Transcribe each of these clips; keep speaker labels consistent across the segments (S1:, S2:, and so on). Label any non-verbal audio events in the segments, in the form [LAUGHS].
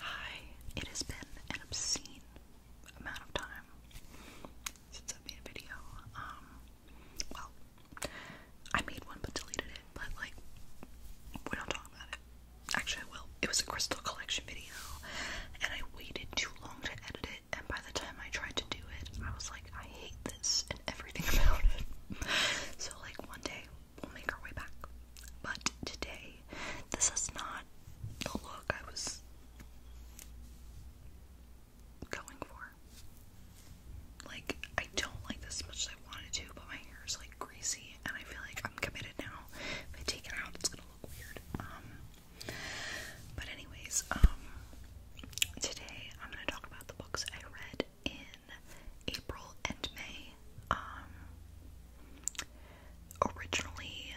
S1: Hi, it has been an obscene amount of time since I made a video. Um, well, I made one but deleted it, but like, we don't talk about it. Actually, I It was a crystal collection video, and I waited too long to edit it, and by the time I tried to do it, I was like, I hate this and everything [LAUGHS] about it. So, like, one day we'll make our way back. But today, this is not the look I was going for. Like, I don't like this as much as I wanted to, but my hair is like greasy, and I feel like I'm committed now. If I take it out, it's gonna look weird. Um, but anyways, um, today I'm gonna talk about the books I read in April and May. Um, originally,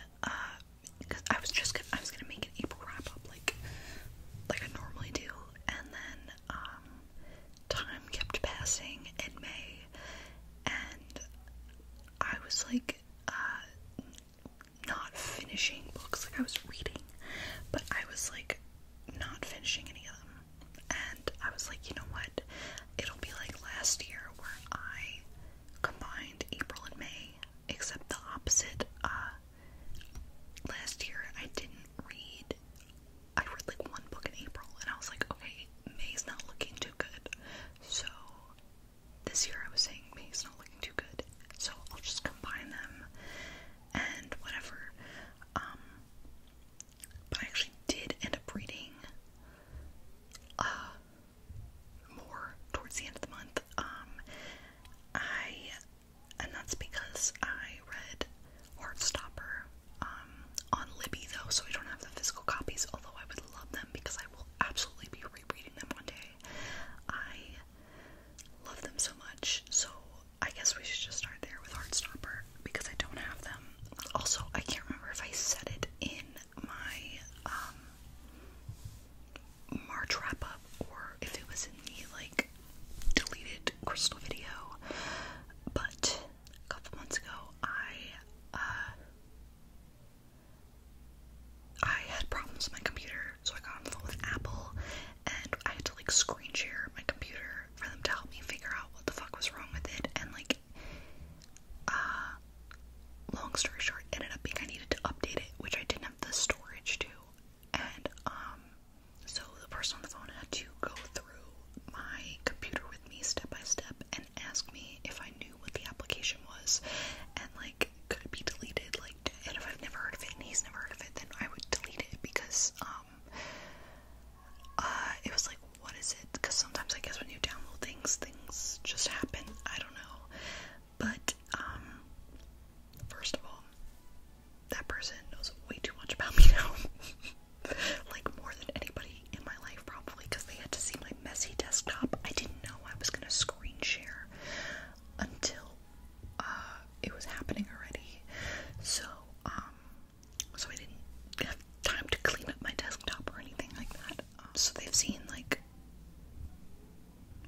S1: because uh, I was just gonna, I was gonna make an April wrap up like like I normally do, and then um, time kept passing in May, and I was like uh, not finishing books. Like I was reading, but I was like not finishing any of them and I was like, you know what? It'll be like last year where I combined April and May, except the opposite. Uh, last year I didn't read, I read like one book in April, and I was like, okay, May's not looking too good. So this year I was saying May's not looking too good, so I'll just combine them and whatever. Um, but I actually did end up reading uh, more towards the end of the month. Um, I, and that's because I read Heartstopper um, on Libby though, so we don't have the physical copies, although I would love them because I will absolutely be rereading them one day. I love them so much, so I guess we should just start there with Heartstopper because I don't have them. Also, I can't remember if I said it in my um, March wrap up or if it was in the like deleted crystal video, but a couple months ago I uh, I had problems with my computer, so I got on the with Apple and I had to like screen share my computer for them to help me figure out what the fuck was wrong with it and like uh, long story short, ended up being I needed to update it, which I didn't have the storage to. And, um, so the person on the phone had to go through my computer with me step by step and ask me if I knew what the application was and, like, could it be deleted? Like, and if I've never heard of it and he's never heard of it, then I would delete it because, um, uh, it was like what is it? Because sometimes I guess when you download things, things just happen. I don't know. But, um, first of all, that person knows way too much about [LAUGHS] me now. [LAUGHS] like, more than anybody in my life, probably, because they had to see my messy desktop. I didn't know I was gonna screen share until uh, it was happening already. So, um, so I didn't have time to clean up my desktop or anything like that so they've seen like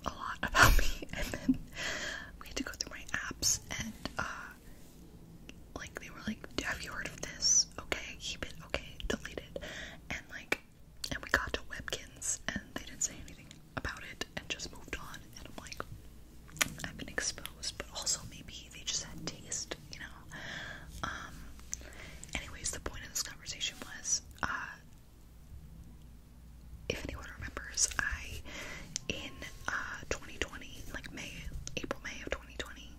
S1: a lot [LAUGHS] about me, and then we had to go through my apps, and uh, like they were like, "Have you heard of this? Okay, keep it. Okay, delete it." And like, and we got to Webkins, and they didn't say anything about it, and just moved on. And I'm like, I've been exposed, but also maybe they just had taste, you know? now. Um, anyways, the point of this conversation was, uh, if anyone remembers, I, in, uh, 2020, like May, April, May of 2020,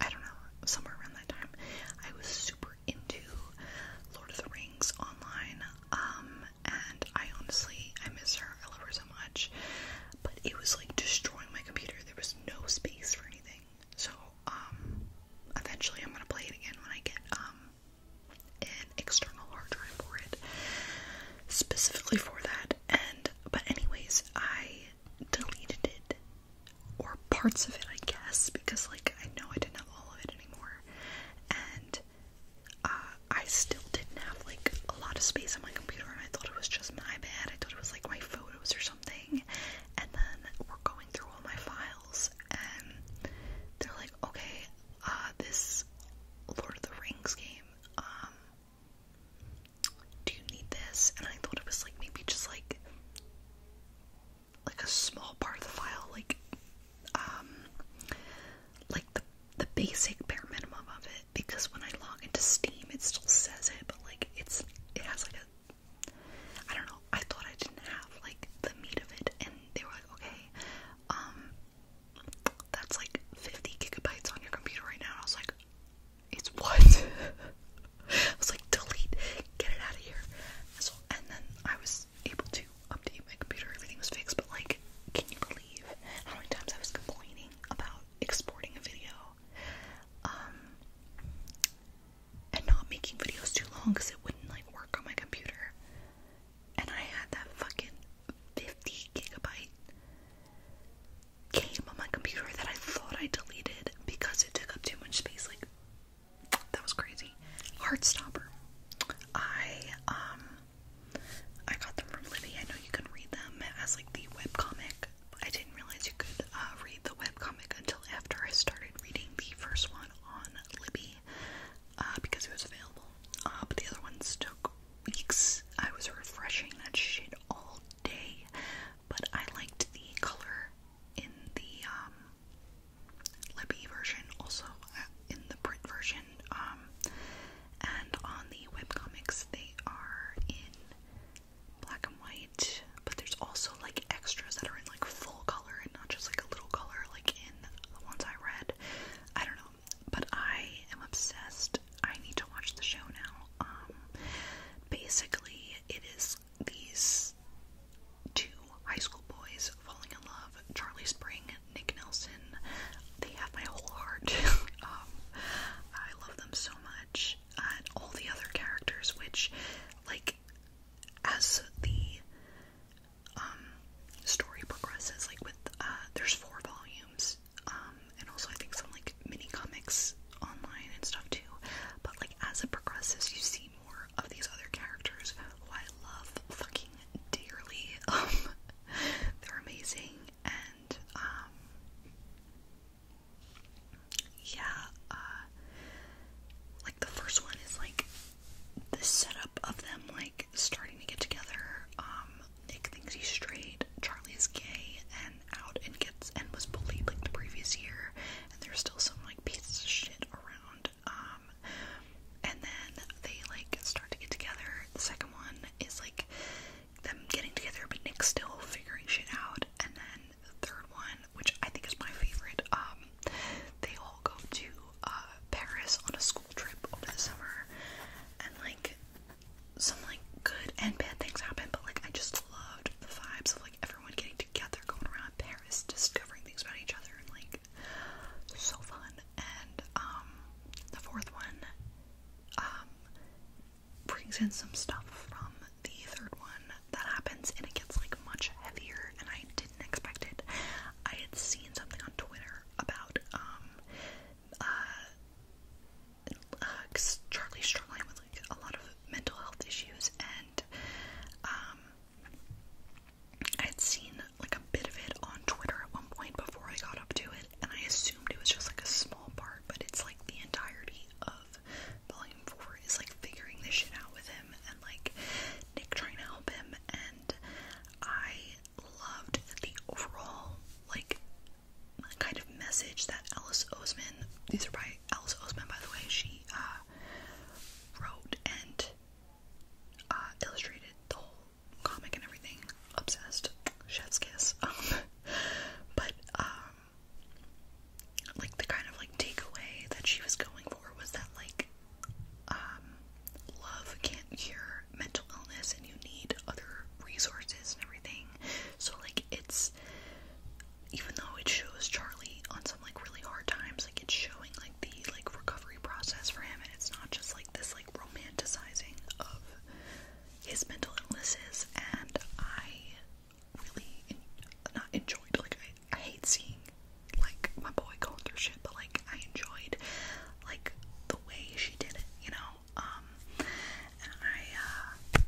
S1: I don't know, somewhere around that time, I was super into Lord of the Rings online, um, and I honestly, I miss her, I love her so much, but it was, like, destroying my computer, there was no space for anything, so, um, eventually I'm gonna play it again when I get, um, an external hard drive for it, specifically for that. And, but anyways, I deleted it, or parts of it, I guess, because, like, I know I didn't have all of it anymore. And, uh, I still didn't have, like, a lot of space on my computer, and I thought it was just my bad. I thought it was, like, my photos or something and then we're going through all my files and they're like, okay, uh, this Lord of the Rings game, um, do you need this? And I thought it was like maybe just like like a small part of the file, like um like the the basic bare minimum of it because when I log into Steam it still says it, but like it's it has like a I don't know. I thought I didn't have like the meat of it, and they were like, okay, um, that's like 50 gigabytes on your computer right now. And I was like, it's what? [LAUGHS] I was like, delete, get it out of here. And so, and then I was able to update my computer. Everything was fixed, but like, can you believe how many times I was complaining about exporting a video? Um, and not making videos too long because it wouldn't like work on my computer. And I had that fucking 50 gigabyte game on my computer that I thought I deleted because it took up too much space. Like, that was crazy. Heartstopper. I, um, I got them from Libby. I know you can read them as like the web comic. I didn't realize you could uh, read the webcomic until after I started reading the first one on Libby uh, because it was available. Uh, but the other ones took weeks. I was refreshing that shit all day, but I liked the color in the um, Libby version, also in the print version. Um, and on the webcomics, they are in black and white, but there's also like extras that are in like full color and not just like a little color like in the ones I read. I don't know, but I am obsessed. I need to watch the show now. Um, basically, it is these two high school boys falling in love Charlie Spring, Nick Nelson. They have my whole heart. [LAUGHS] Um, I love them so much. and all the other characters, which, like, as the um, story progresses, like with uh, there's four volumes, um, and also I think some like mini comics online and stuff too. But like as it progresses you see more of these other characters who I love fucking dearly. [LAUGHS] Um, they're amazing and yeah, uh, like the first one is like the setup of them like starting to get together. Um, Nick thinks he's straight, Charlie gay and out and gets and was bullied like the previous year, and there's still some like pieces of shit around. Um, and then they like start to get together. The second one is like them getting together, but Nick's still figuring shit out, and then the third one which I think is my favorite. Um, they all go to uh, Paris on a school trip over the summer, and like some like good and bad things happen. But like I just loved the vibes of like everyone getting together, going around Paris, discovering things about each other, and like so fun. And um, the fourth one um, brings in some stuff from the third one that happens and it gets like much heavier and I didn't expect it. I had seen something on Twitter about um uh, uh Charlie struggling with like a lot of mental health issues and um I had seen like a bit of it on Twitter at one point before I got up to it and I assumed it was just like a small part but it's like the entirety of Volume 4 is like figuring this shit out with him and like Nick trying to help him. And I loved the overall, like, kind of message that Alice Oseman, these are by Alice Oseman, by the way, she uh, wrote and uh, illustrated the whole comic and everything. Obsessed. Chef's kiss. Um, [LAUGHS] but, um, like the kind of like takeaway that she was going for was that like um love can't cure mental illness and you need other resources and everything. So like it's even though it shows Charlie on some like really hard times, like it's showing like the like recovery process for him and it's not just like this like romanticizing of his mental illnesses and I really in not enjoyed. Like I, hate seeing like my boy going through shit, but like I enjoyed like the way she did it, you know. Um, and I uh,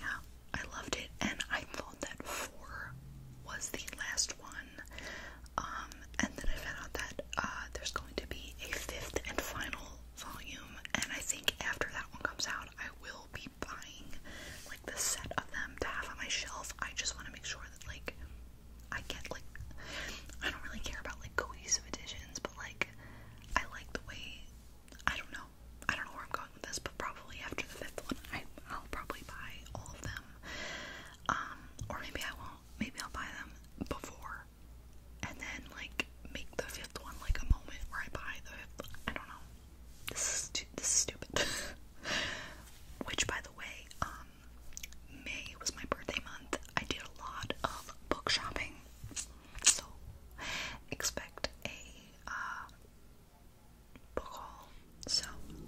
S1: yeah, I loved it, and I thought that four was the last one. Um, and then I found out that uh, there's going to be a fifth and final volume, and I think after that one comes out, I will be buying like the set of them to have on my shelf. I just want to make sure that like I get like I don't really care about like cohesive editions, but like I like the way I don't know. I don't know where I'm going with this, but probably after the fifth one, I, I'll probably buy all of them. Um, or maybe I won't. Maybe I'll buy them before, and then like make the fifth one like a moment where I buy the I don't know. This is, this is stupid. [LAUGHS] Which, by the way, um, May was my birthday month. I did a lot of book shopping, so expect a uh, book haul. So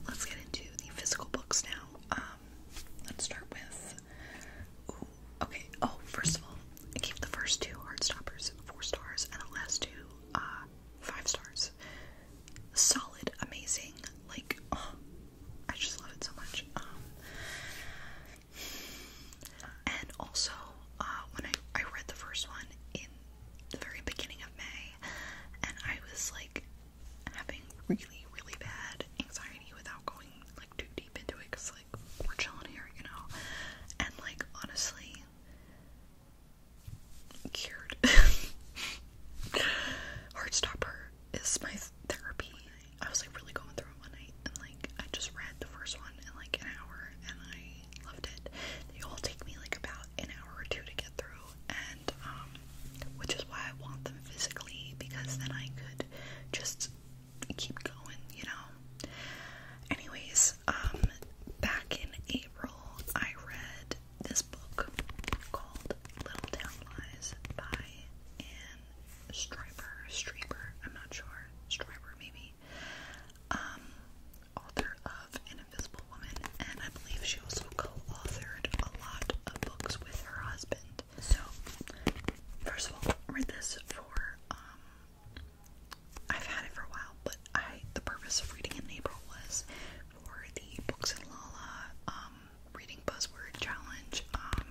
S1: let's get into the physical books now. Um, let's start with. okay. Oh, first of all, I gave the first two heart Heartstoppers four stars and the last two uh, five stars solid, amazing. Like, um, I just love it so much. Um, and also, uh, when I, I read the first one in the very beginning of May, and I was like having really, really bad anxiety without going like too deep into it because, like, we're chilling here, you know. And, like, honestly, cured. [LAUGHS] Heartstopper is my therapy. I was like really going through one night and like I just read the first one in like an hour and I loved it. They all take me like about an hour or two to get through and um which is why I want them physically because then I could just keep going, you know. Anyways, um, back in April, I read this book called Little Town Lies by Anne Stryber, I'm not sure, Stryber maybe, um, author of Invisible Woman, and I believe she also co-authored a lot of books with her husband. So, first of all, I read this for, um, I've had it for a while, but I the purpose of reading in April was for the Books and Lala um reading buzzword challenge. Um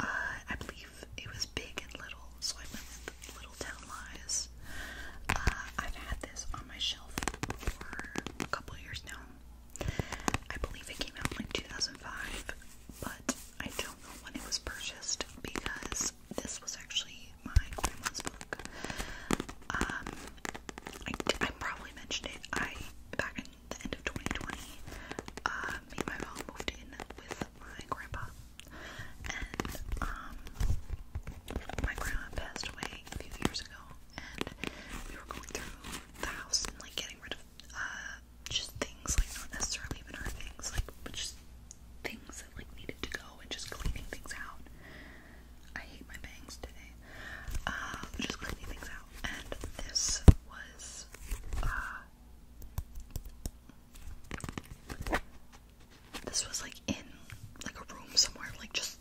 S1: uh, I believe it was big and little, so I went with Little Town Lies. Uh I've had this on my shelf for a couple years now. I believe it came out in like 2005, but I don't know when it was purchased because this was actually my grandma's book. Um, I, I probably mentioned it. I back in the end of 2020, uh, me and my mom moved in with my grandpa, and um, my grandma passed away a few years ago, and we were going through the house and like getting rid of uh just things like not necessarily even our things like but just things that like needed to go and just cleaning things out I hate my bangs today. Um, just cleaning things out. And this was, uh, this was like in like a room somewhere, like just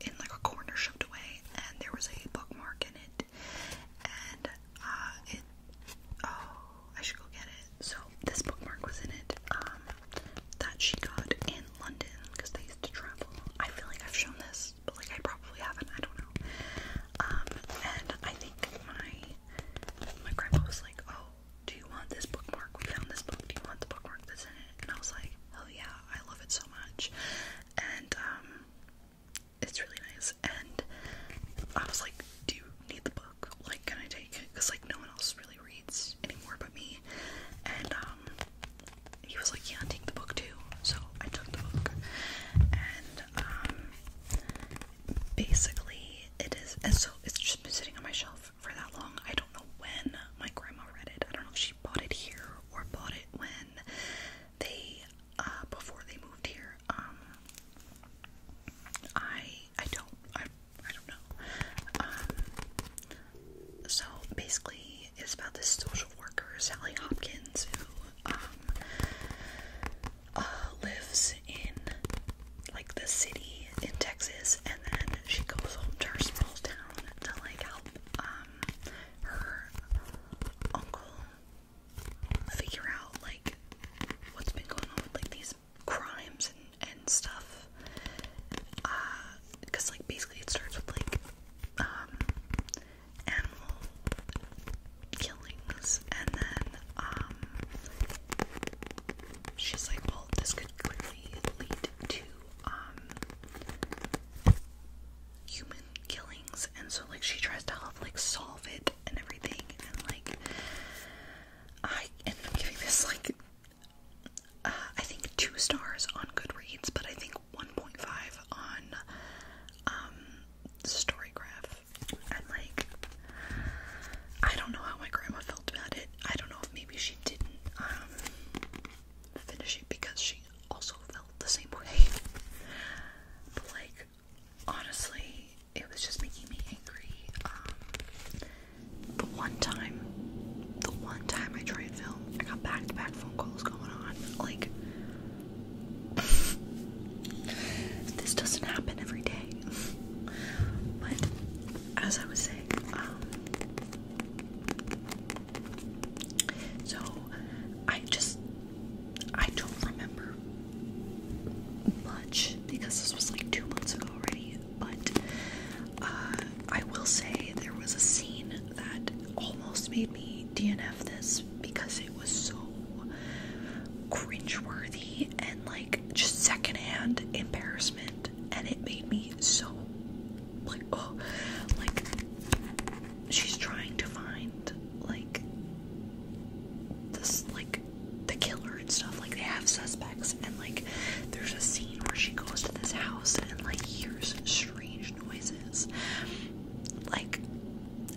S1: in like a corner shoved away, and there was a bookmark in it. And, uh, it, oh, I should go get it. So, this bookmark was in it. Um, that she got in London because they used to travel. I feel like I've shown this, but like I probably haven't. I don't know. Um, and I think my my grandpa was like, "Oh, do you want this bookmark? We found this book. Do you want the bookmark that's in it?" And I was like, "Oh yeah, I love it so much." And um, it's really nice. And I was like, "Do you need the book? Like, can I take it? Because like no one else really reads." anymore but me. And um, he was like, Yeah, take the book too. So I took the book. And um, basically it is and so it's just been sitting on my shelf for that long. I don't know when my grandma read it. I don't know if she bought it here or bought it when they uh before they moved here. Um I I don't I I don't know. Um, so basically, it's about this social worker, Sally Hopkins, who um, uh, lives in like the city in Texas, and then she goes home to her small town to like help um, her uncle figure out like what's been going on with like these crimes and, stuff. Because, uh, like, basically it starts with, like, um, animal killings, and then, um, she's like, well, this could clearly lead to, um, human killings, and so, like, she tries to help, like, solve it and everything, and, like, I end giving this, like, uh, I think two stars on Goodreads, but I think 1.5 on um, Storygraph. And like, I don't know how my grandma felt about it. I don't know if maybe she didn't um, finish it because she also felt the same way. but like, honestly, it was just making me angry. Um, the one time, the one time I tried film, I got back to back phone calls going on. Like, [LAUGHS] this doesn't happen every day. but, as I was saying, um, so I just, I don't remember much because this was like two months ago already but uh, I will say there was a scene that almost made me DNF this because it was so cringeworthy and like just secondhand embarrassment, and it made me so like oh, like she's trying to find like this like the killer and stuff like they have suspects and like there's a scene where she goes to this house and like hears strange noises like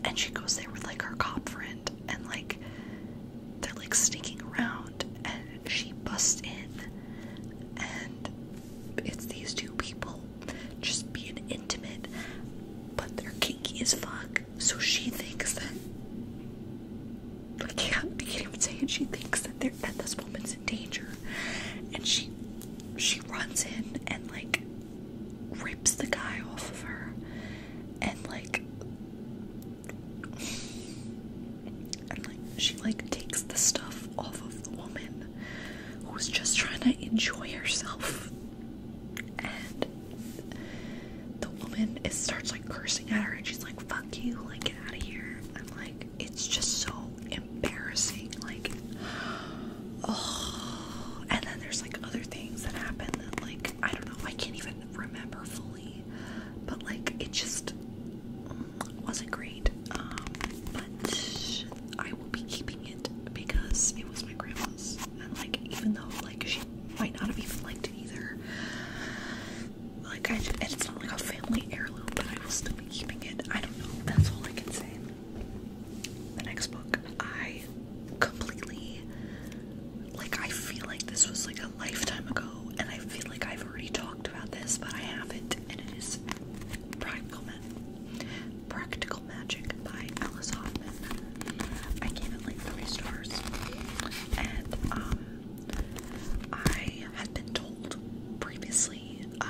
S1: and she goes there with like her cop friend and like they're like sneaking around and she busts in and it's these two people just being intimate but they're kinky as fuck so she thinks that I can't, [LAUGHS] I can't even say it. She thinks that, they're at this woman's danger and she she runs in and like rips the guy off of her and like and like she like takes the stuff off of the woman who's just trying to enjoy herself and the woman starts like cursing at her and she's like fuck you like get out of here and like it's just so embarrassing. Like, oh. And then there's like other things that happen that, like, I don't know, I can't even remember fully. But, like, it just wasn't great. Um, but I will be keeping it because it was my grandma's. And, like, even though, like, she might not have even liked it either, like I, and it's not like a family heirloom, but I will still be keeping it. I don't know. That's all I can say. The next book, I completely, like I feel like this was like a lifetime ago, and I feel like I've already talked about this, but I haven't, and it is Practical Magic by Alice Hoffman. I gave it like three stars, and um, I had been told previously uh,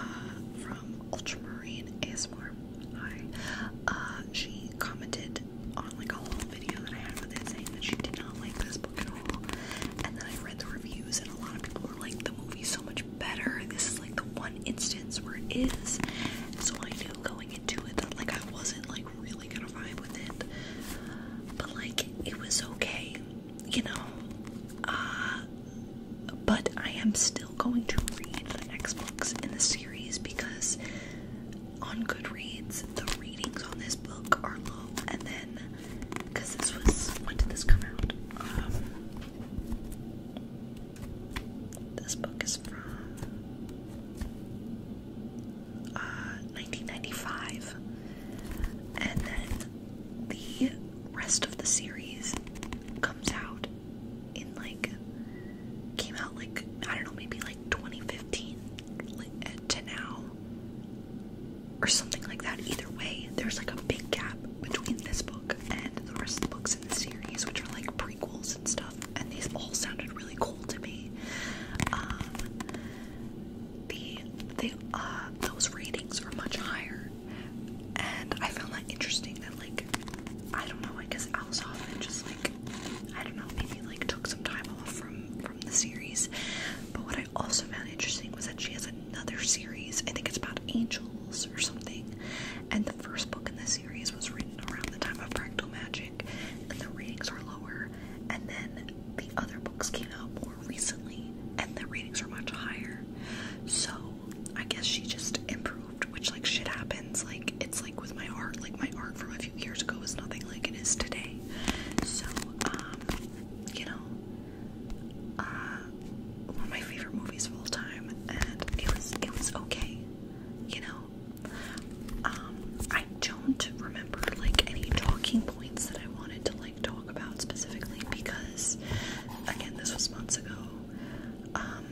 S1: from Ultramarine ASMR. Hi. Uh, she commented on like a little video that I had with it saying that she did not like this book at all. And then I read the reviews, and a lot of people were like, the movie's so much better. This is like the one instance where it is. So I knew going into it that like I wasn't like really gonna vibe with it. But like it was okay you know, uh, but I am still going to read the next books in the series because on Goodreads the readings on this book are low, and then because this was when did this come out? Um, this book is from 1995, uh, and then the rest of the series comes out in like came out like I don't know maybe like 2015 eh, to now or something like that. Either way, there's like a big gap between this book and the rest of the books in the series, which are like prequels and stuff. And these all sounded really cool to me. Um, the they uh those ratings are much higher summer. And I found that interesting that like I don't know, I guess Alice Hoffman just like I don't know, maybe like took some time off from from the series. But what I also found interesting was that she has another series. I think it's about angels or something. And the first book in the series was written around the time of Practical Magic and the ratings are lower. And then the other books came out recently, and the ratings are much higher. So I guess she just improved, which like shit happens. Like it's like with my art, like my art from a few years ago was nothing like it is today. So um, you know, uh, one of my favorite movies of all time, and it was it was okay, you know. Um, I don't remember like any talking points that I wanted to like talk about specifically because, again, this was months ago. Um,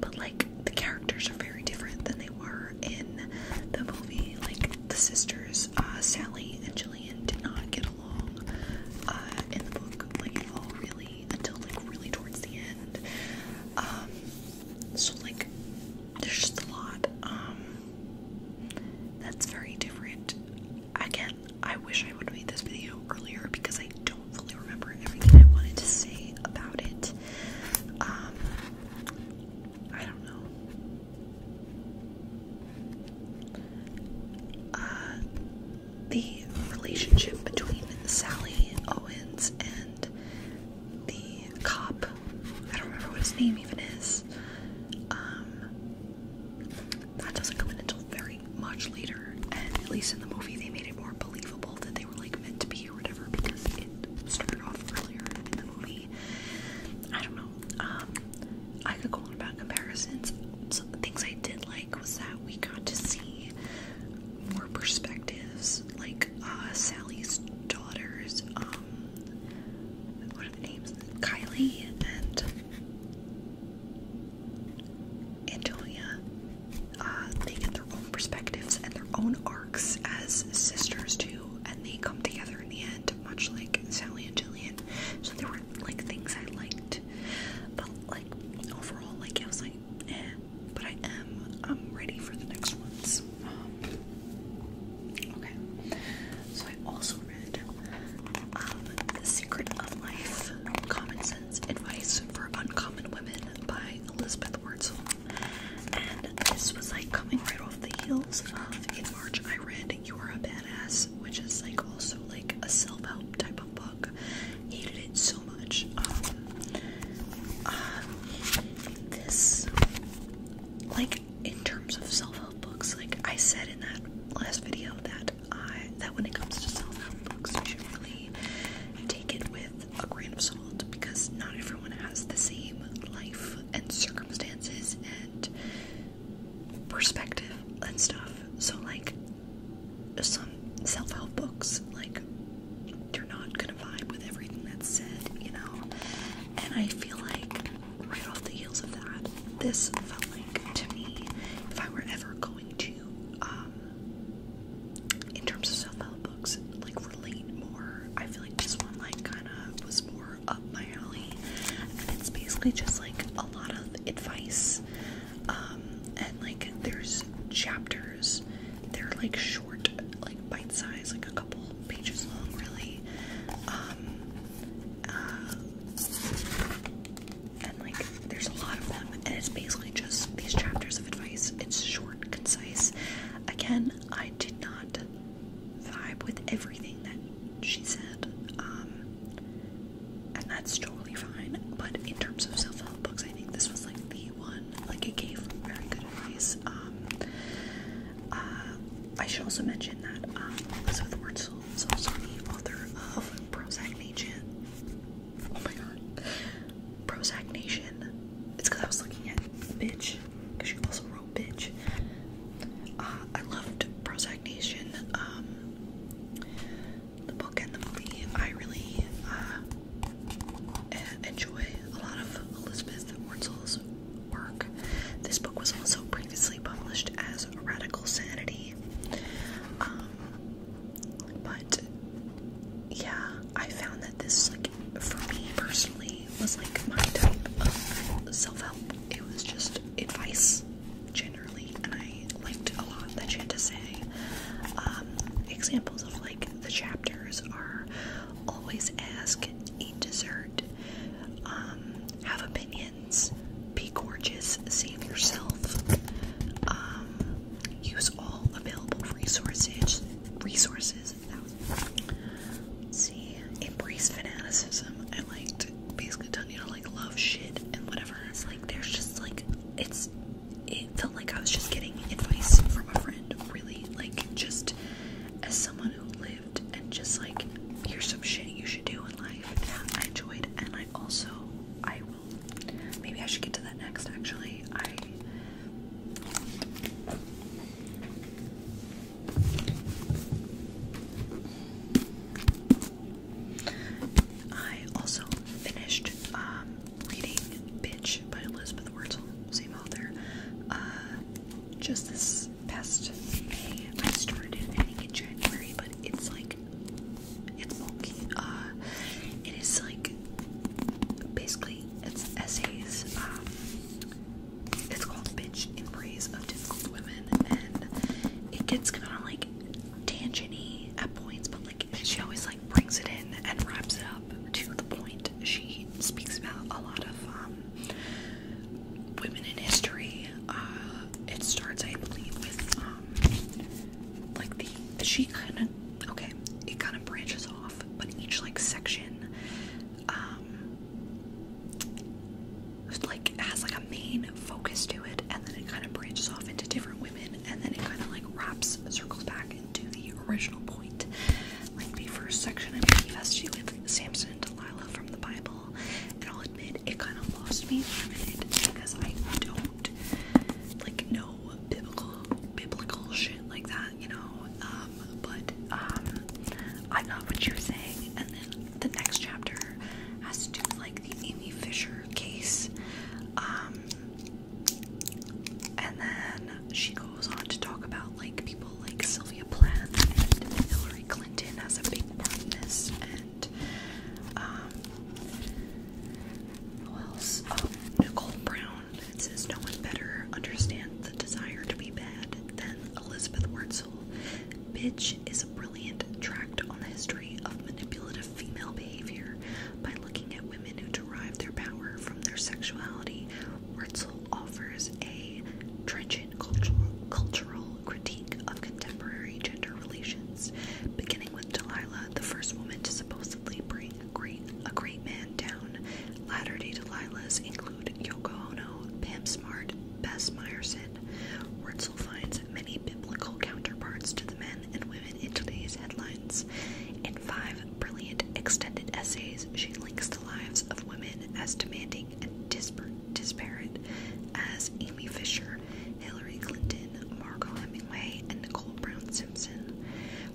S1: but like the characters are very different than they were in the movie. Like the sisters, uh, Sally and Julian did not get along uh, in the book, like at all, really, until like really towards the end. Um, so like, there's just a lot. Um, that's very different. Again, I wish I would have made this video earlier because I don't fully remember everything I wanted to say about it. Um, I don't know. Uh, the relationship between Sally Owens and the cop I don't remember what his name even is. Um, that doesn't come in until very much later, and at least in the movie they made it more believable that they were like meant to be or whatever because it started off earlier in the movie. I don't know. Um, I could go on about comparisons. Some things I did like was that we got to see more perspectives, like uh, Sally's daughter's. Um, Kylie and Antonia. Uh, they get their own perspectives and their own arcs as sisters too, and they come together in the end, much like Sally and Jillian. So there were like things I liked, but like overall, like I was like, eh. But I am, I'm um, ready for the next ones. Um, okay. So I also um, the Secret of Life Common Sense Advice for Uncommon Women by Elizabeth Wurtzel. And this was like coming right off the heels of in March I read You Are a Badass, which is like also like a self help type of book. Hated it so much. Um, uh, this, like, in terms of self-help books, like I said in that last video that I that when it comes to self-help books, you should really take it with a grain of salt because not everyone has the same life and circumstances and perspective and stuff. So like some self-help books, like you're not gonna vibe with everything that's said, you know? And I feel like right off the heels of that, this felt like to me, if I were ever going to, um, in terms of self-help books, like relate more, I feel like this one like kind of was more up my alley, and it's basically just like a lot of advice, um, and like there's chapters, they're like short, like bite-sized, like a couple pages long, really, um, um, and like there's a lot of them and it's basically just these chapters of advice. It's short, concise. Again, I did not vibe with everything that she said. Um and that's totally fine. But in terms of self-help books, I think this was like the one. Like it gave very good advice. Um uh, I should also mention that um, Elizabeth Wurtzel is also the author of Prozac Nation. Oh my god. Prozac Nation. It's because I was looking at Bitch, because she also wrote Bitch. Uh, I loved Prozac Nation, um, the book and the movie. I really uh, enjoy a lot of Elizabeth Wurtzel's work. This book was also previously published as Radical Sanity. Um, but yeah, I found that this, like, for me personally, was like my type of self help. It was just advice generally, and I liked a lot that she had to say. Um, examples of like the chapters are always ask, eat dessert, um, have opinions. Be gorgeous, save yourself. Um, use all available resources. Resources. see, embrace fanaticism. I liked basically telling you to like love shit and whatever. It's like there's just like it's. It felt like I was just getting advice from a friend. Really, like just as someone who lives and just like here's some shit you should do in life that I enjoyed and I also I will maybe I should get to that next actually I I also finished um, reading Bitch by Elizabeth Wurtzel, same author. Uh, just this past May. I started I think in January, but it's like it's bulky. Uh, it is like basically it's essays. Um, it's called "Bitch in Praise of Difficult Women," and it gets kind of like tangy at points, but like she always like brings it in and wraps it up to the point. She speaks about a lot of um, women in history. Uh, it starts, I believe, with um, like the she kind of okay. It kind of branches off, but each like section, um, like has like a main focus to it, and then it kind of branches off into different women, and then it kind of like wraps circles back into the original point. Like the first section, I am has to do with Samson and Delilah from the Bible. And I'll admit, it kind of lost me for a minute because I don't like know biblical biblical shit like that, you know. Um, but um, I got what you're saying, and then the next chapter has to do with like the Amy Fisher case. Um, and then she goes on to talk about like people like Sylvia Plath and Hillary. Clinton Clinton has a big part and um, who else? Um, Nicole Brown. It says no one better understands the desire to be bad than Elizabeth Wurtzel. Bitch is a brilliant tract on the history of manipulative female behavior by looking at women who derive their power from their sexuality. Wurtzel offers a trench cultural, critique of contemporary gender relations, beginning with Delilah, the first woman to supposedly bring a great, man down. Latter-day Delilahs include Yoko Ono, Pam Smart, Bess Meyerson. Wurtzel finds many biblical counterparts to the men and women in today's headlines. In five brilliant extended essays, she links the lives of women as demanding and disparate, as Amy Fisher, Hillary Clinton, Margot Hemingway, and Nicole Brown Simpson.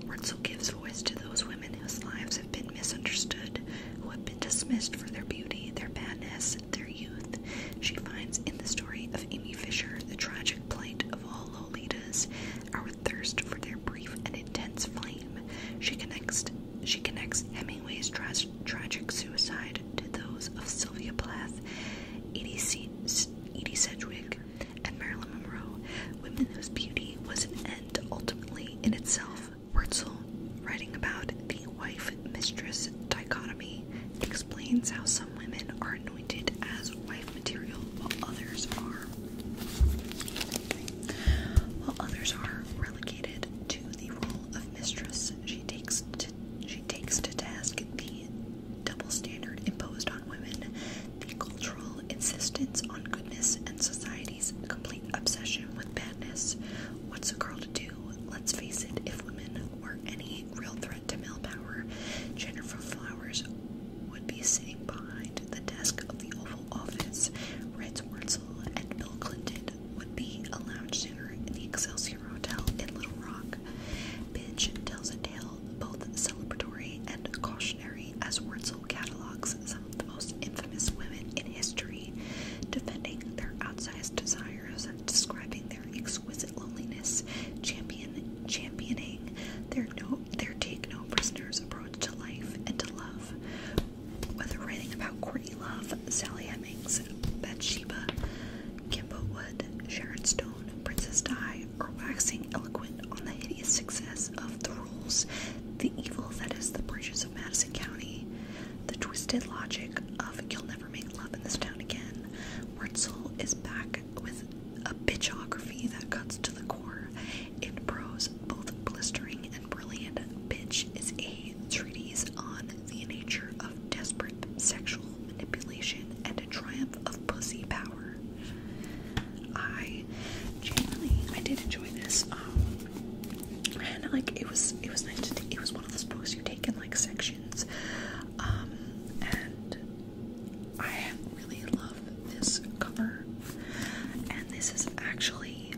S1: Wurtzel gives voice to those women whose lives have been misunderstood, who have been dismissed for their beauty, their badness, their youth. She finds in the story of Amy Fisher the tragic plight of all Lolitas, our thirst for their brief and intense flame. She connects she connects Hemingway's tra tragic suicide to those of Sylvia Plath, Edie, Sedgwick, and Marilyn Monroe, women whose beauty was an end ultimately in itself. Wurzel, writing about the wife-mistress dichotomy, explains how some women are anointed as wife material while others are while others are relegated to the role of mistress. She takes to she takes to task the double standard imposed on women, the cultural insistence on goodness, and society's complete obsession with badness. What's a girl to do? Let's face it, if women were any real threat to male power, Jennifer Flowers would be sitting behind the desk of the Oval Office, writes Wurzel, and Bill Clinton would be a lounge singer in the Excelsior Hotel in Little Rock. Bitch tells a tale both celebratory and cautionary as Wurzel catalogs some of the most infamous women in history, defending their outsized desires, describing their exquisite loneliness, championing their no, their take no prisoners approach to life and to love. Whether writing about Courtney Love, Sally Flemings, Bathsheba, Kimbo Wood, Sharon Stone, Princess Di are waxing eloquent on the hideous success of the rules, the evil that is the bridges of Madison County, the twisted logic of you'll never make love in this town again. Wurtzel is back with a bitchography that cuts to the core. In prose, both blistering and brilliant, bitch is a treatise on the nature of desperate sexual manipulation and a triumph of pussy power. I generally I did enjoy this. Um and like it was it was nice to take it was one of those books you take in like sections. Um and I really love this cover. And this is actually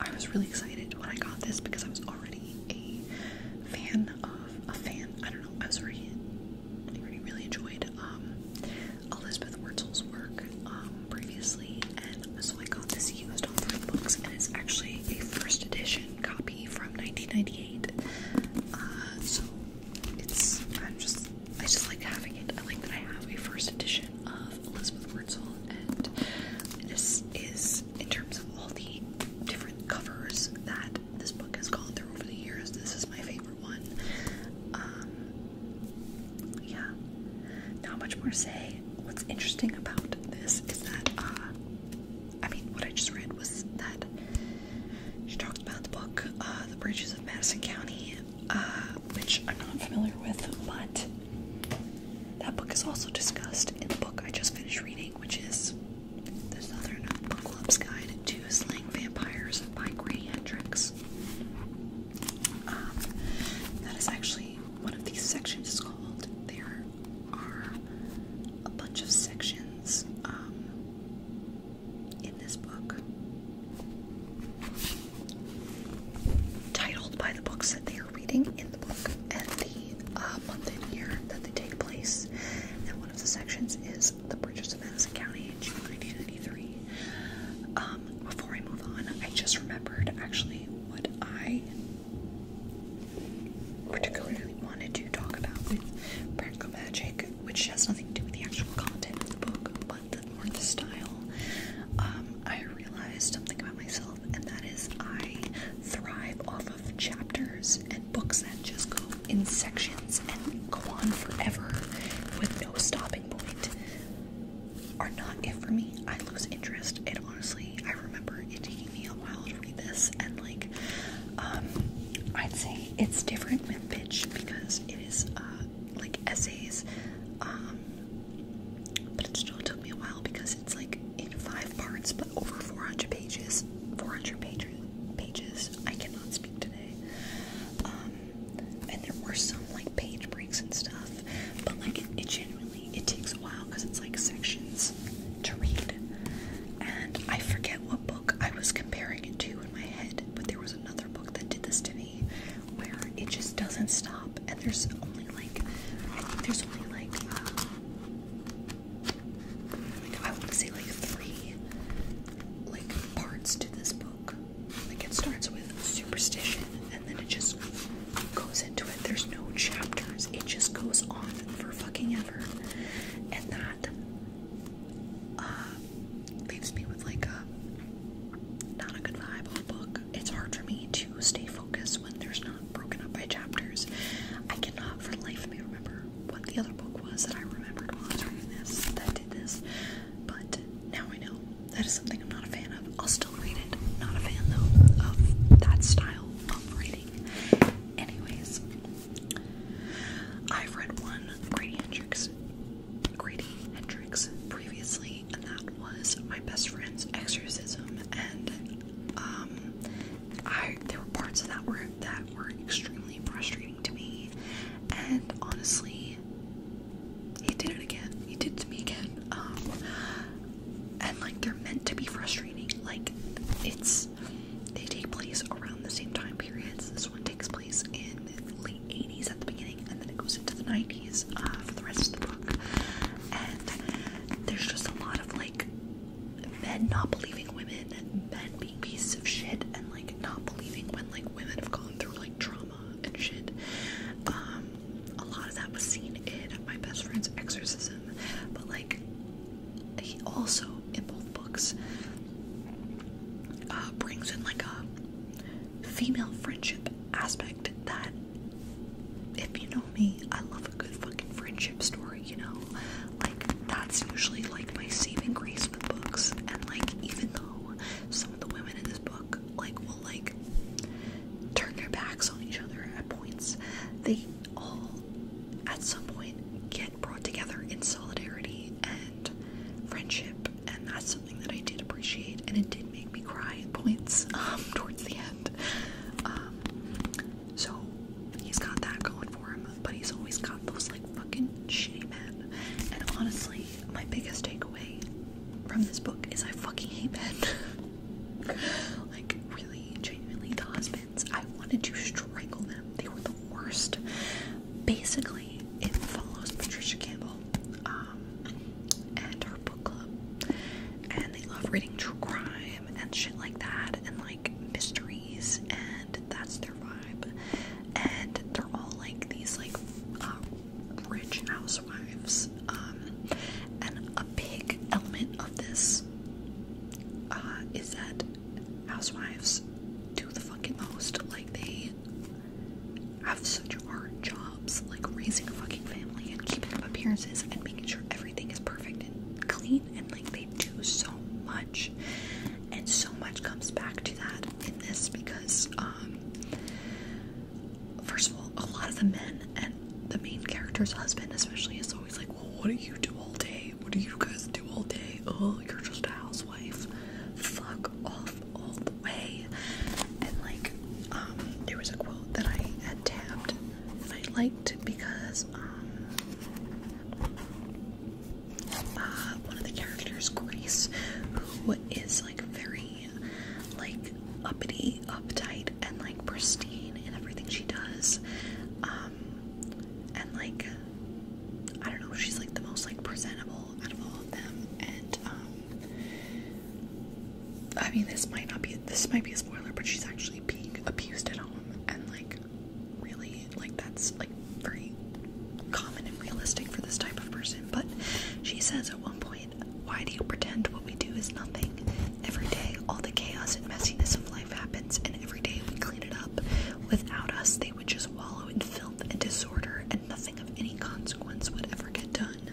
S1: I was really excited when I got this because I was already a fan of a fan. I don't know. I was reading. really, really enjoyed um, Elizabeth Wurtzel's work um, previously, and so I got this used on three books, and it's actually a first edition copy from 1998. Uh, so it's i just I just like having it. I like that I have a first edition of Elizabeth Wurtzel, and this is in terms of all the different covers that this book has gone through over the years, this is my favorite one. Um, yeah, not much more to say. What's interesting about this is that, uh, I mean, what I just read was that she talked about the book, uh, The Bridges of Madison County, uh, which I'm not familiar with, but that book is also discussed in the book I just finished reading which is the Southern Book Club's Guide to Slaying Vampires by Gray Hendricks. Um, that is actually one of these sections is called. There are a bunch of sections um, in this book titled by the books that they reading in the book and the uh, month and year that they take place. And one of the sections is the Bridges of Madison County, in 1993. Um, before I move on, I just remembered actually what I particularly wanted to talk about with Practical Magic, which has nothing to do with the actual content of the book, but the, more the style. Um, I realized something about myself, and that is I thrive off chapters and books that just go in sections and go on forever with no stopping point are not it for me. I lose interest. and honestly, I remember it taking me a while to read this, and like, um, I'd say it's different with Bitch because it is uh, like essays, um, but it still took me a while because it's like in five parts but over 400 pages. 400 pages. Pages. I cannot speak today. Um, and there were some like page breaks and stuff, but like it, genuinely it takes a while because it's like sections to read. And I forget what book I was comparing it to in my head, but there was another book that did this to me where it just doesn't stop. And there's only like, I think there's only like, uh, I want to say like three like parts to this book. Like it starts with superstition and then it just goes into it. There's no chapters. It just goes on for fucking ever. And that uh, leaves me with like a not a good vibe on book. It's hard for me to stay focused when there's not broken up by chapters. I cannot for life of me remember what the other book was that I remembered while I was reading this that did this, but now I know. That is something I'm not a fan of. I'll still read it. Not a fan though of that style of reading. Anyways, I've read one Grady Hendrix, Grady Hendrix previously, and that was my best friend's exorcism. And um, I there were parts of that were that were extremely frustrating to me, and honestly, he did it again. He did it to me again. Um, and like they're meant to be frustrating. Like it's they take place around the same time periods. This one takes place in the late 80s at the beginning, and then it goes into the 90s uh, for the rest of the book. And there's just a lot of like men not believing women, and men being pieces of shit, and like not believing when like women have gone through like trauma and shit. Um, a lot of that was seen in my best friend's exorcism, but like he also in both books uh, brings in like a female friendship aspect that if you know me, I love myself a good fucking friendship story, you know? Like, that's usually like my saving grace with books. And like, even though some of the women in this book, like, will like turn their backs on each other at points, they all at some point get brought together in solidarity and friendship. And that's something that I did appreciate, and it did make me cry at points [LAUGHS] um, towards the end. Um, so he's got that going for him, but he's always got those like fucking shitty men. And honestly, my biggest takeaway from this book is I fucking hate men. [LAUGHS] like really, genuinely, the husbands, I wanted to strangle them. They were the worst. Basically, it follows Patricia Campbell um, and her book club, and they love reading true crime and shit like that and like mysteries and that's their vibe and they're all like these like uh, rich housewives um and a big element of this uh is that housewives do the fucking most like they have such hard jobs like raising a fucking family and keeping up appearances and making sure everything is perfect and clean and they do so much, and so much comes back to that in this because, um, first of all, a lot of the men and the main character's husband, especially, is always like, Well, what do you do all day? What do you guys do all day? Oh, you're just a housewife. Fuck off all the way. And like, um, there was a quote that I had tapped, that I liked because, um, uh, one of the characters, Grace, who is like very like uppity, uptight, and like pristine in everything she does. Um, and like I don't know, she's like the most like presentable out of all of them. And um, I mean, this might not be this might be a spoiler, but she's actually being abused at home, and like really like that's like very common and realistic for this type of person. But she says at one point, why do you pretend what we do is nothing? Every day all the chaos and messiness of life happens and every day we clean it up. Without us they would just wallow in filth and disorder and nothing of any consequence would ever get done.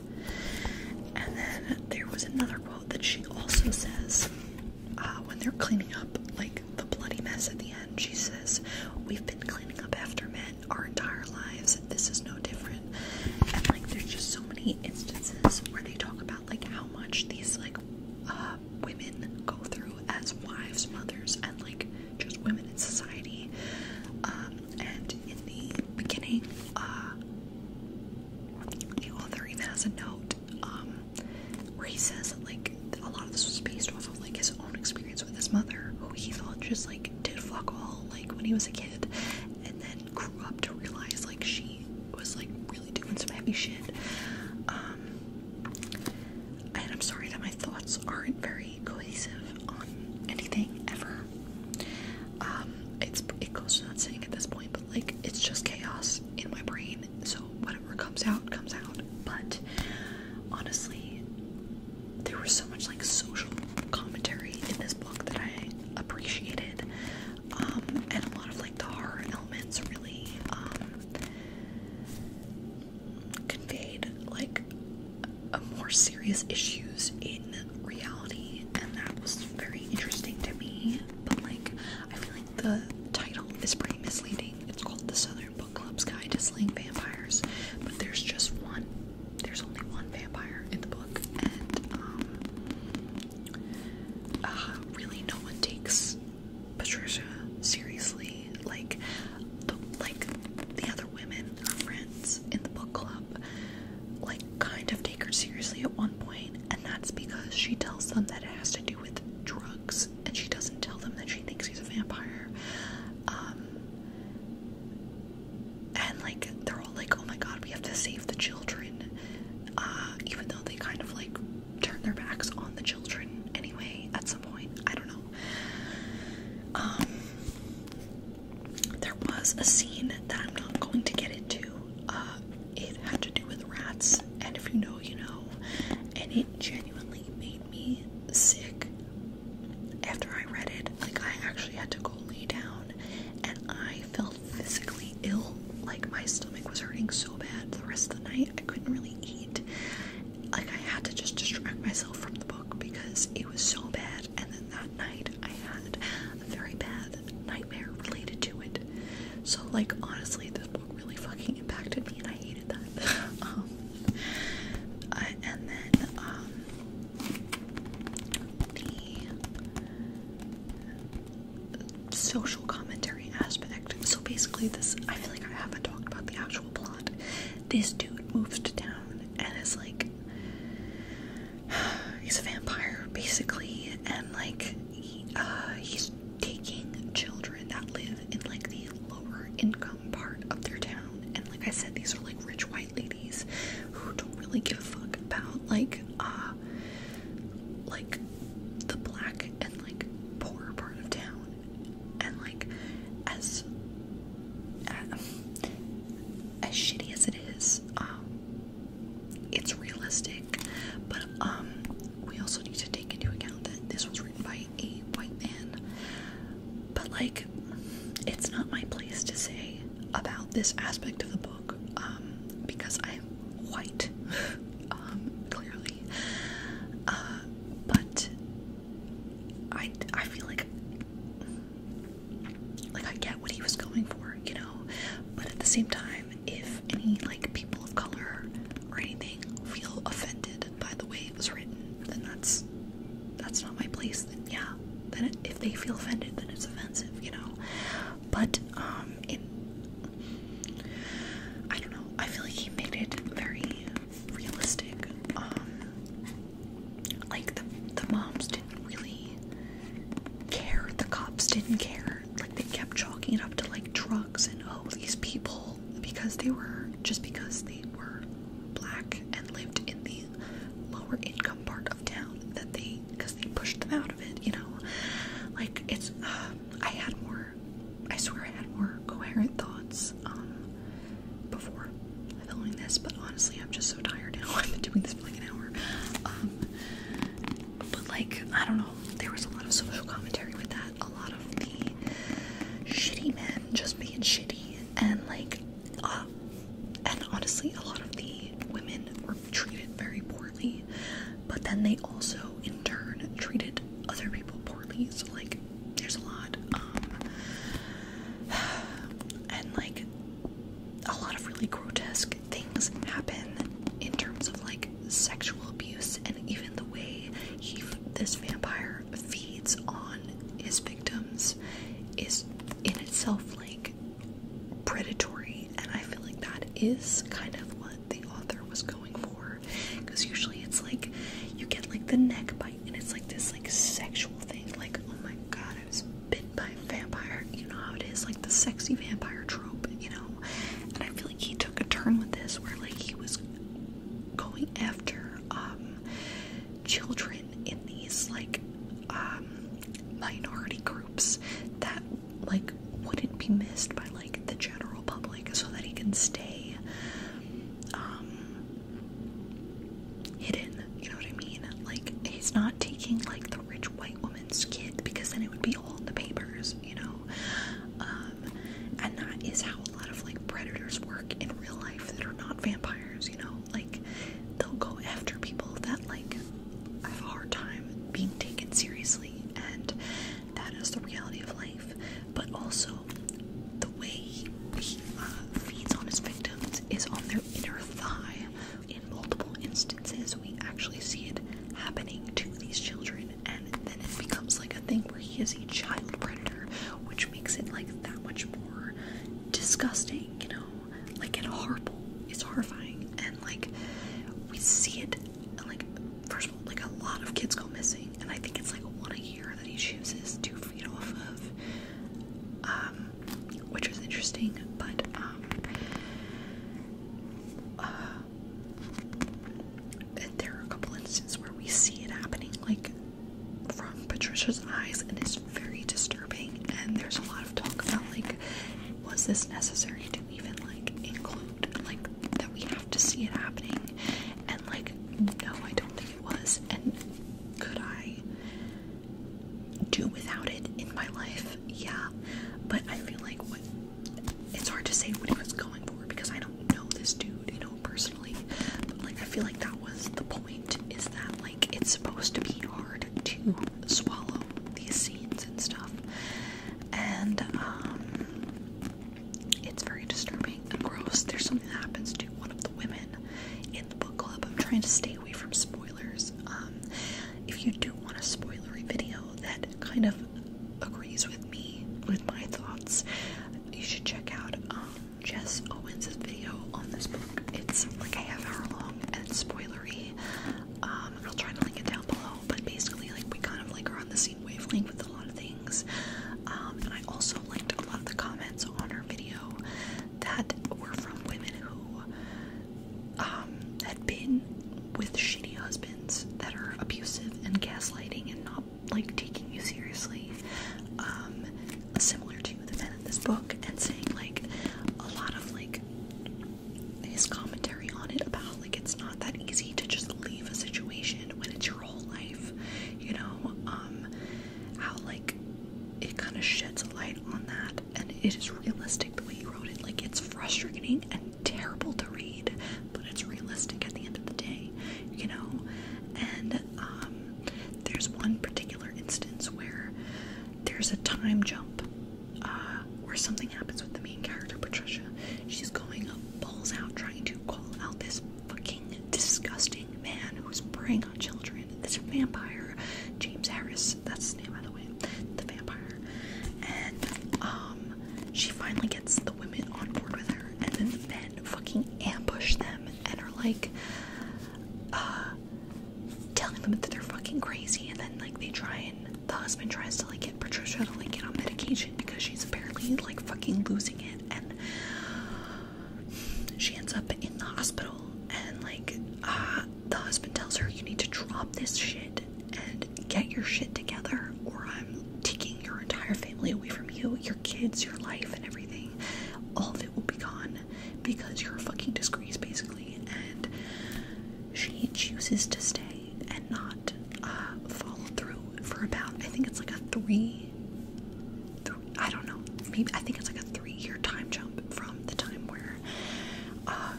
S1: And then there was another quote that she also says uh, when they're cleaning up like the bloody mess at the end, she says, We've been cleaning up after men our entire lives. This is no different. And like, there's just so many instances where they talk about like how much these like uh, women go through as wives, mothers, and like just women in society. Um, and in the beginning, uh, the author even has a note um, where he says that like a lot of this was based off of like his own experience with his mother, who he thought just like did fuck all like when he was a kid, and then grew up to realize like she was like really doing some heavy shit. Um, and I'm sorry that my thoughts aren't very cohesive on anything ever. Um, it's it goes without saying at this point, but like it's just chaos in my brain so whatever comes out comes out but honestly there was so much like social commentary in this book that I appreciated um, and a lot of like the horror elements really um, conveyed like more serious issues in reality and that was very interesting to me but like I feel like the title is pretty misleading. It's called The Southern Book Club's Guide to Slaying Vampires, but there's just one. There's only one vampire in the book, and um, uh, really no one takes Patricia seriously. Like, the, like the other women, her friends in the book club, like kind of take her seriously at one point, and that's because she tells them that it has to do with drugs and she doesn't tell them that she thinks he's a vampire. Um, and like they're all like, "Oh my God, we have to save the children," uh, even though they kind of like turn their backs on the children anyway. At some point, I don't know. Um, there was a scene that I'm not going to get into. Uh, it had to do with rats and if you know, you know. And it genuinely made me sick after I read it. Like, I actually had to go lay down, and I felt physically ill. Like, my stomach was hurting so bad the rest of the night, I couldn't really eat. Like, I had to just distract myself from the book because it was so bad. And then that night, I had a very bad nightmare related to it. So, like, honestly, this book really fucking impacted me and I hated that. [LAUGHS] Um, and then, um, the social commentary aspect. So basically, this I feel like I haven't talked about the actual plot. This dude moves to town and is like, [SIGHS] he's a vampire basically, and like, he, uh, he's taking children that live in like the lower income part of their town. And like I said, these are like rich white ladies who don't really give a fuck about like uh like the black and like poorer part of town. And like as uh, as shitty as it is, um it's realistic. But um we also need to take into account that this was written by a white man. But, like, it's not my place to say about this aspect of the book um, because I'm white, [LAUGHS] um, clearly. Uh, but I, I feel like like I get what he was going for, you know, but at the same time, if any like people of color or anything feel offended by the way it was written, then that's that's not my place. Then yeah, then if they feel offended, then it's offensive, you know. But um, in I don't know. I feel like he made it very realistic. Um, like the the moms didn't really care. The cops didn't care were like they kept chalking it up to like drugs and oh these people because they were just because they were black and lived in the lower income part of town that they because they pushed them out of it you know like it's um, I had more I swear I had more coherent thoughts um before filming this but honestly I'm just so tired now [LAUGHS] I've been doing this for like an hour um but like I don't know there was a lot of social commentary with that a lot of the shitty men just being shitty and like uh, and honestly a lot of the women were treated very poorly but then they also in turn treated other people poorly so like there's a lot um [SIGHS] and like a lot of really grotesque things happen in terms of like sexual abuse, and even the way he this vampire feeds on his victims is in itself like predatory, and I feel like that is kind of what the author was going for. Because usually it's like you get like the neck bite, and it's like this like sexual thing, like oh my god, I was bit by a vampire. You know how it is, like the sexy vampire trope, you know. And I feel like he took a turn with this where like he was going after um, children in these like um, minority groups that like wouldn't be missed by like the general public so that he can stay um, hidden you know what i mean like he's not taking like the rich white woman's kid because then it would be all in the papers you know uh, and that is how a lot of like predators work in real life that are not vampires, you know? Like, they'll go after people that like have a hard time being taken seriously, and that is the reality of life. But also, the way he, uh, feeds on his victims is on their inner thigh. In multiple instances, we actually see it happening to these children and then it becomes like a thing where he is a child predator, which makes it like that much more disgusting, you know? Like, and horrible. It's horrifying, and like, we see it, and, like, first of all, like, a lot of kids go missing, and I think it's like one a year that he chooses to feed off of, um, which is interesting, but, um, uh, and there are a couple instances where we see it happening, like from Patricia's eyes, and it's very disturbing. And there's a lot of talk about like, was this necessary to even like include like that we have to see it happening? And like, no, I don't think it was. And could I do without it in my life? Yeah, but I feel like what it's hard to say what he was going for because I don't know this dude, you know, personally. But like I feel like that was the point is that like it's supposed to be hard to swallow these scenes and stuff. And um it's very disturbing and gross. There's something that happens to one of the women in the book club. I'm trying to stay away from spoilers. Um if you do want a spoilery video that kind of agrees with me with my thoughts, you should check out um, Jess Owens' video on this book. It's like a half hour long and it's spoilery. Um, I'll try to link it down below, but basically, like, we kind of like are on the same wavelength with a lot of things. Um, and I also liked a lot of the comments on her video that were from women who um, had been with shitty husbands that are abusive and gaslighting and not like taking you seriously, um, similar to the men in this book, and saying like a lot of like his commentary on it about like it's not that easy to just leave a situation when it's your whole life, you know, um, how like it kind of sheds a light on that, and it is realistic the way he wrote it. Like it's frustrating and terrible to read, but it's realistic at the end of the day you know. And um, there's one particular instance where there's a time jump uh, where something happens with the main character, Patricia. She's going balls out trying to call out this fucking disgusting man who's preying on children. This vampire, James Harris, that's the name, by the way, the vampire. And um, she finally gets the women on board with her, and then the men fucking ambush them and are like uh, telling them that they're fucking crazy and then like they try and the husband tries to like get Patricia to like get on medication because she's apparently like fucking losing it and she ends up in the hospital and like uh, the husband tells her you need to drop this shit and get your shit together or I'm taking your entire family away from you, your kids, your life, and everything. All of it will be gone because you're a fucking disgrace, basically. And she chooses to stay and not uh, follow through for about, I think it's like a three, I don't know, maybe I think it's like a three year time jump from the time where uh,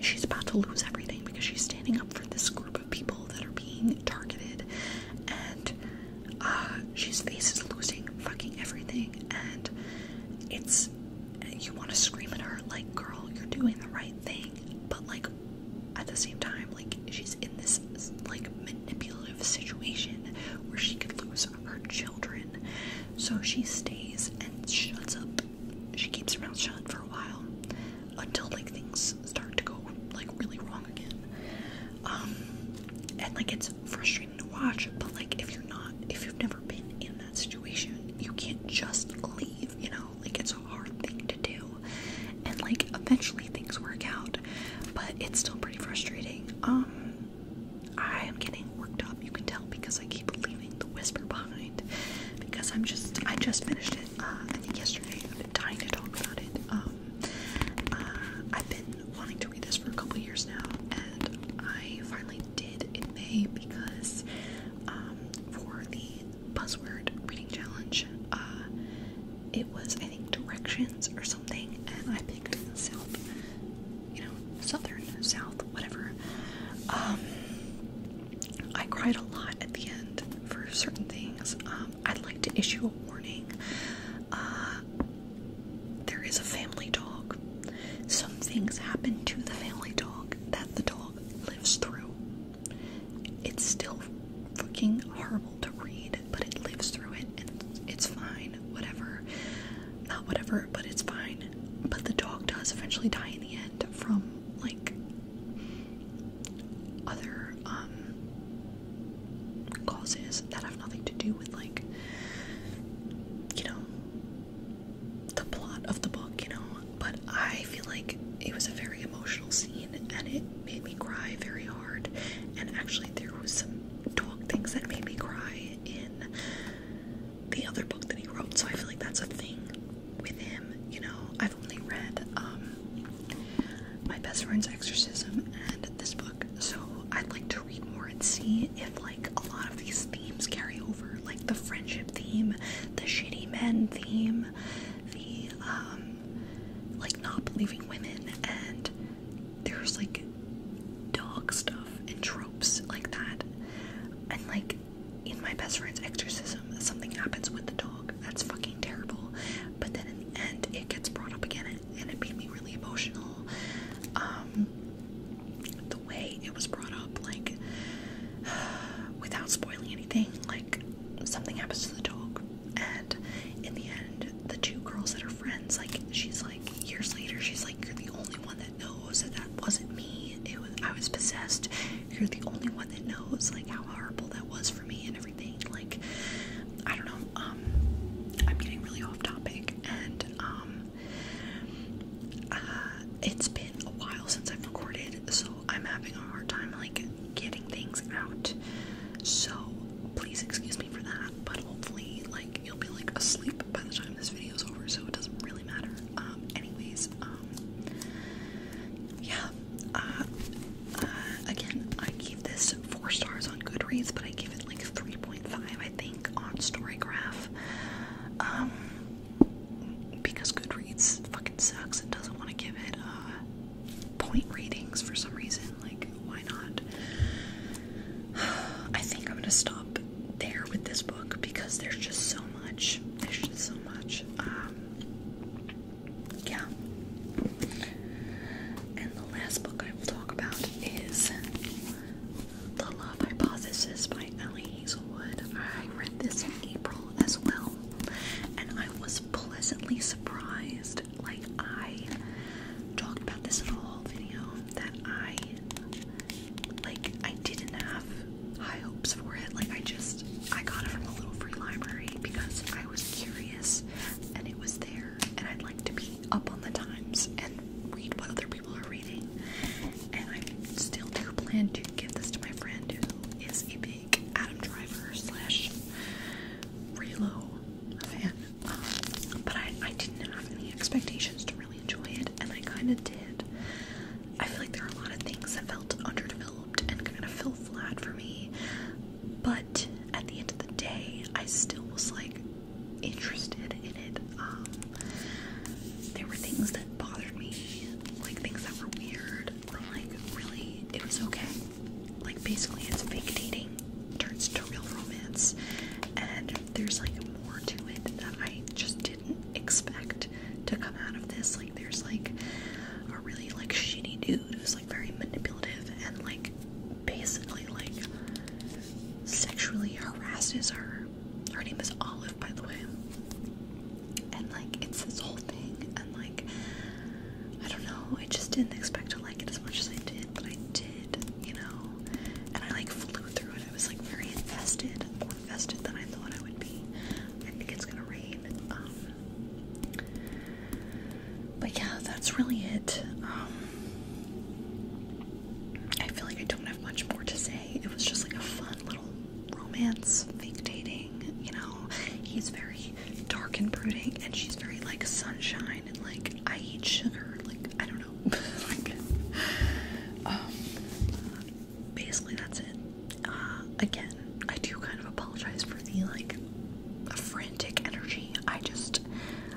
S1: she's about to lose everything because she's standing up for this group people that are being targeted, and uh, she's faces losing fucking everything, and it's you want to scream at her like, girl, you're doing the right thing, but like at the same time, like she's in this like manipulative situation where she could lose her children, so she stays and shuts up. She keeps her mouth shut for a while until like things start to go like really wrong again. Um, and like it's frustrating to watch, but like if you're not, if you've never been in that situation, you can't just leave, you know, like it's a hard thing to do. And like eventually things work out, but it's still pretty frustrating. Um, I am getting worked up, you can tell, because I keep leaving the whisper behind because I'm just, I just finished it, uh, I think yesterday been dying to talk about it. Um, uh, I've been wanting to read this for a couple years now, and I finally did in May because um, for the buzzword reading challenge, uh, it was I think directions or something, and I picked south, you know, southern, south, whatever. Um, I cried a lot at the end for certain things, um, I'd like to issue a warning. Uh, there is a family dog. Some things happen to the family dog that the dog lives through. It's still fucking horrible to read, but it lives through it and it's fine, whatever. Not whatever, but it's fine. But the dog does eventually die in the end from like other um, causes that have nothing to do with like you know the plot of the book, you know, but I feel like it was a very emotional scene and it made me cry very hard and actually there was some dog things that made me cry in the other book that he wrote so I feel like that's a thing with him, you know, I've only read um, My Best Friend's Exorcism and this book, so I'd like to read more and see if like a lot of these themes carry over, like the friendship theme, the shitty men theme, the um, like not believing women, and there's like dog stuff and tropes like that, and like in My Best Friend's Exorcism, something happens with the dog. That's fucking terrible. But then in the end, it gets brought up again, and it made me really emotional. Um, the way it was brought up, like, [SIGHS] without spoiling anything, like, something happens to the dog, and in the end, the two girls that are friends, like, she's like, years later, she's like, You're the only one that knows that that wasn't me. It was, I was possessed. You're the only one that knows, like, how horrible that was for me and everything. Like, I don't know. Um, I'm getting really off topic, and um, uh, it's been a while since I've recorded, so I'm having a hard time like getting things out. So please excuse me for that. But hopefully, like you'll be like asleep by the time this video is over, so it doesn't really matter. Um, anyways, yeah. Uh, uh, again, I give this four stars on Goodreads, but I give it like 3.5, I think, on Storygraph. Um, because Goodreads fucking sucks and doesn't want to give it uh, point ratings for some reason. Like, why not? [SIGHS] I think I'm gonna stop there with this book because there's just so much. There's just so much. Um, yeah. And the last book I will talk about is The Love Hypothesis by Ellie Hazelwood. I read this in April as well, and I was pleasantly surprised. Like, I talked about this in a whole video that I like I didn't have high hopes for it. Like I just I got it from a little free library because I was curious and it was there and I'd like to be up on the times and read what other people are reading and I still do plan to give this to my friend who is a big Adam Driver slash Relo fan um, but I, didn't have any expectations to really enjoy it and I kind of did I feel like there are a lot of things that felt underdeveloped and kind of felt flat for me but at the end of the day, I still was like interested in it. Um, there were things that bothered me, like things that were weird, or like really, it was okay. Like basically, it's fake dating turns to real romance, and there's like more to it that I just didn't expect to come out of this. Like there's like a really like shitty dude who's like very manipulative and like basically like sexually harasses her. Her name is Olive, by the way. And like it's this whole thing, and like I don't know, I just didn't expect to like it as much as I did, but I did, you know. And I like flew through it. I was like very invested, more invested than I thought I would be. I think it's gonna rain. Um, but yeah, that's really it. Um, I feel like I don't have much more to say. It was just like a fun little romance, fake dating. You know, he's very dark and brooding, and she's very like sunshine and like I eat sugar. Like I don't know. [LAUGHS] Um, basically that's it. Uh, again, I do kind of apologize for the like a frantic energy. I just,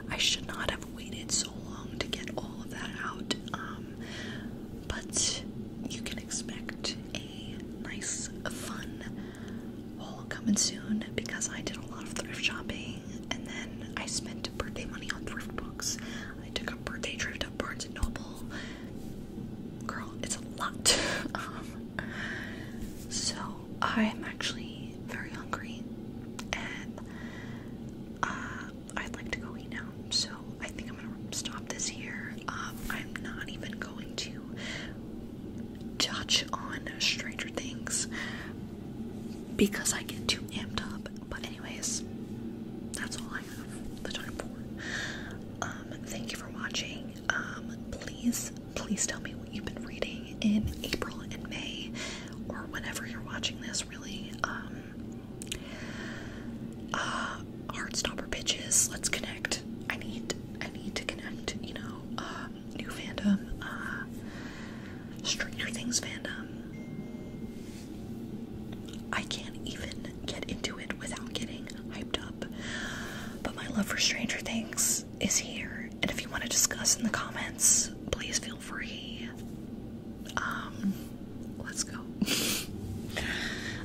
S1: I should not have waited so long to get all of that out. Um, but you can expect a nice, fun haul coming soon because I did a lot of thrift shopping and then I spent birthday money on thrift books. I took a birthday trip to Barnes and Noble. Girl, it's a lot. [LAUGHS] um, so I'm actually very hungry and uh, I'd like to go eat now. So I think I'm gonna stop this here. Um, I'm not even going to touch on Stranger Things because I get too amped up. But anyways, that's all I have the time for. Um, thank you for watching um, please, please tell me what you've been reading in April and May, or whenever you're watching this, really. Um, uh, Heartstopper bitches, let's connect. I need, I need to connect, you know, um, new fandom, uh, Stranger Things fandom. I can't even get into it without getting hyped up. But my love for Stranger Things is here, and if you want to discuss in the comments, please feel free. Um, let's go. [LAUGHS]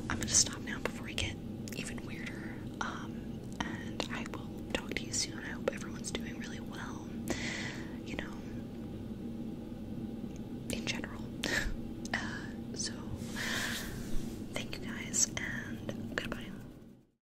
S1: I'm gonna stop now before we get even weirder. Um, and I will talk to you soon. I hope everyone's doing really well. You know, in general. [LAUGHS] Uh, so, thank you guys, and goodbye.